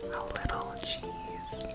A little cheese.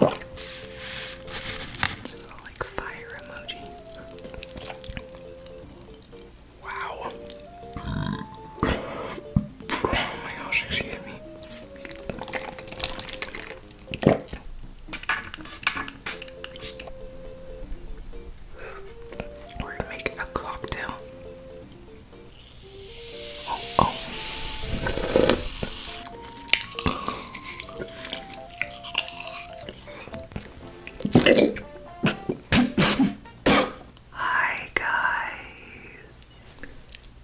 Like fire emoji. Wow. Oh my gosh, excuse me. We're gonna make a cocktail. Oh, oh. Hi guys.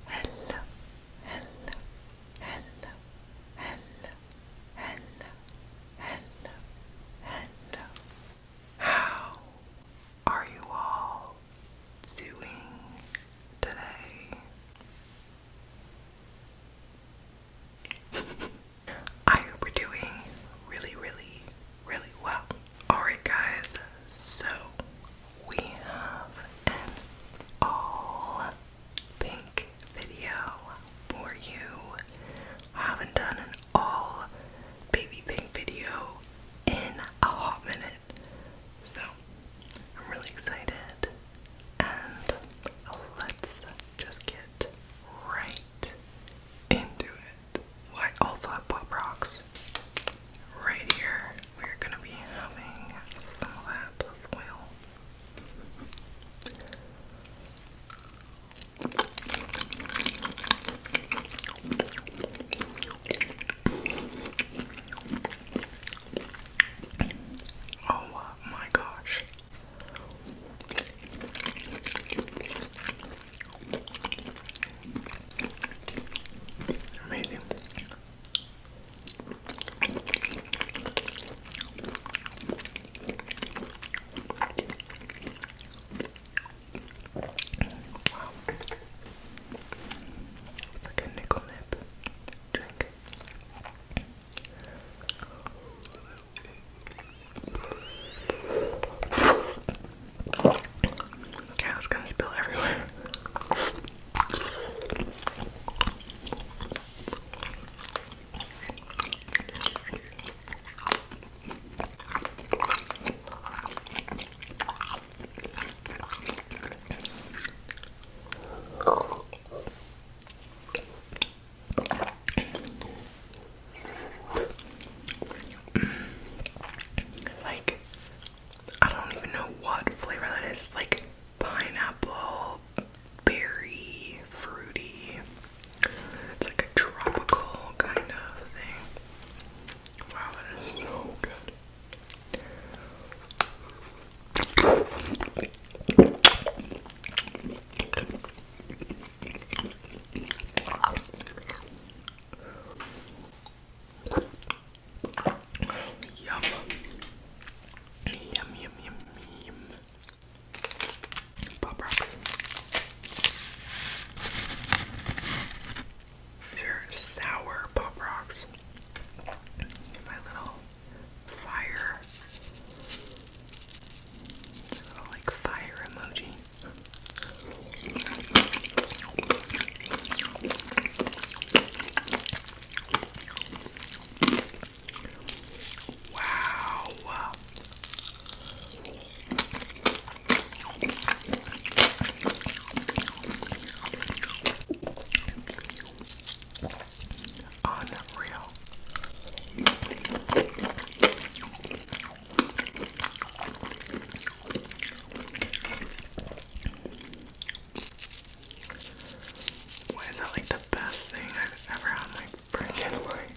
Hello. Hello. Hello. Hello. Hello. Hello. Hello. How are you all doing today? I hope we're doing really, really, really well. Alright, guys, so we have an all pink video for you. haven't done an all baby pink video in a hot minute. So I'm really excited, and let's just get right into it. I also have pop rocks right here. We're gonna be having some of that as well. Oh uh, my gosh. Amazing. Wow. It's like a nickel nip drink back. it's gonna spill everywhere. Like, I don't even know what flavor that is. It's like pineapple, berry, fruity. It's like a tropical kind of thing. Wow, that is so good. Yum. Yum, yum, yum, Pop rocks. These are sour pop rocks. My little fire. like fire emoji. Wow. Why is that like the best thing I've ever had in freaking life?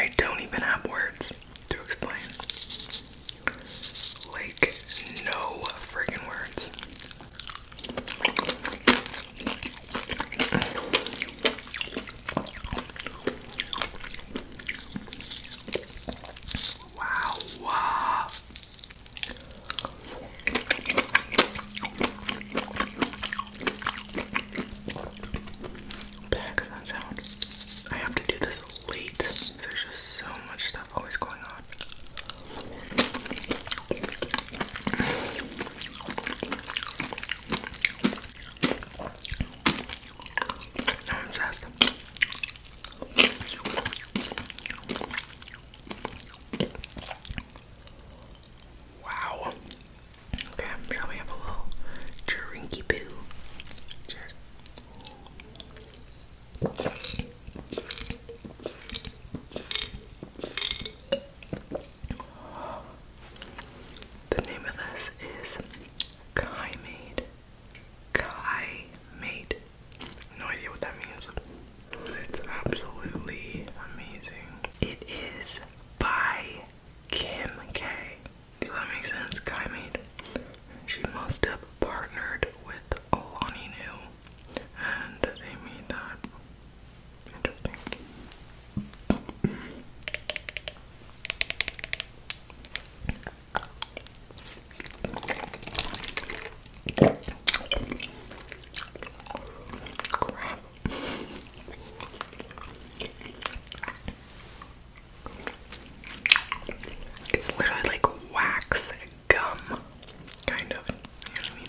I don't even have words to explain. Like, no friggin' words. Wow. What the heck does that sound? I have to do this late. There's just so much stuff always going on. I'm obsessed. Wow. Okay, here we have a little drinky poo. Cheers. The name of this is Kaimade. Kai made. No idea what that means. It's absolutely amazing. It is by Kim K. So that makes sense. Kai made. She must have partnered with Lonnie New, and they made that. Interesting. It's literally like wax gum, kind of. You know what I mean?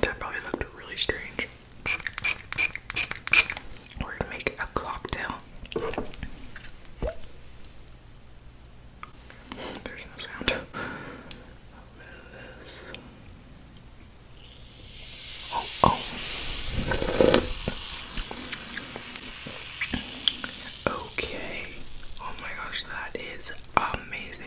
That probably looked really strange. We're gonna make a cocktail. There's no sound. Oh, oh. Okay. Oh my gosh, that is amazing.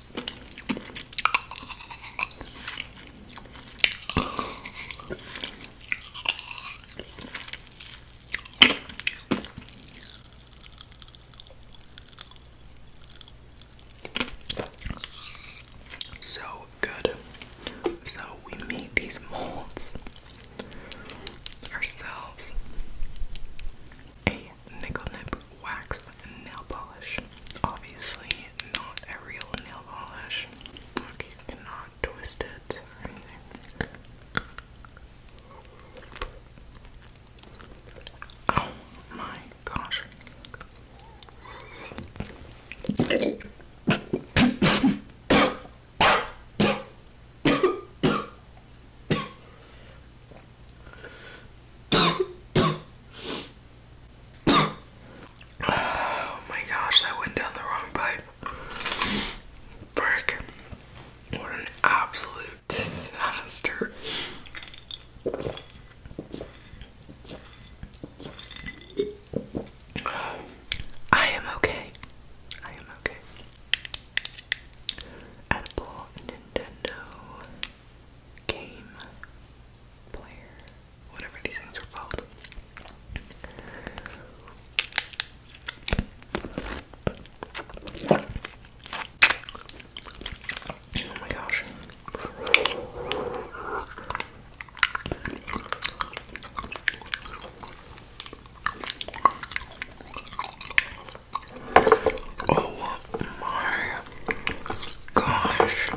So good. So we made these molds ourselves a nickel nip wax nail polish. Obviously, not a real nail polish. Like, you cannot or anything. Oh my gosh oh my gosh, That went down the wrong pipe. Frick. What an absolute disaster. I am okay. I am okay. Apple, Nintendo, game player, whatever these things are called. Oh my gosh. Oh my gosh.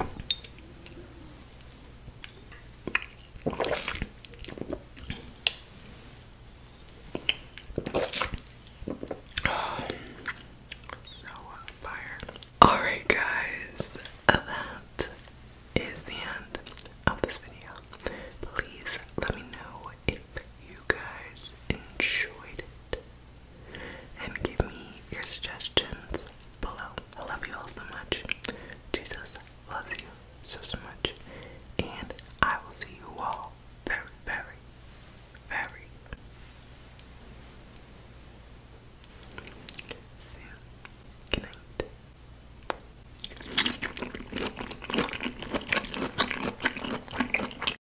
Alright, guys, that is the end of this video. Please let me know if you guys enjoyed it and give me your suggestions below. I love you all so much. Jesus loves you so, so much. And I will see you all very, very, very soon. Good night.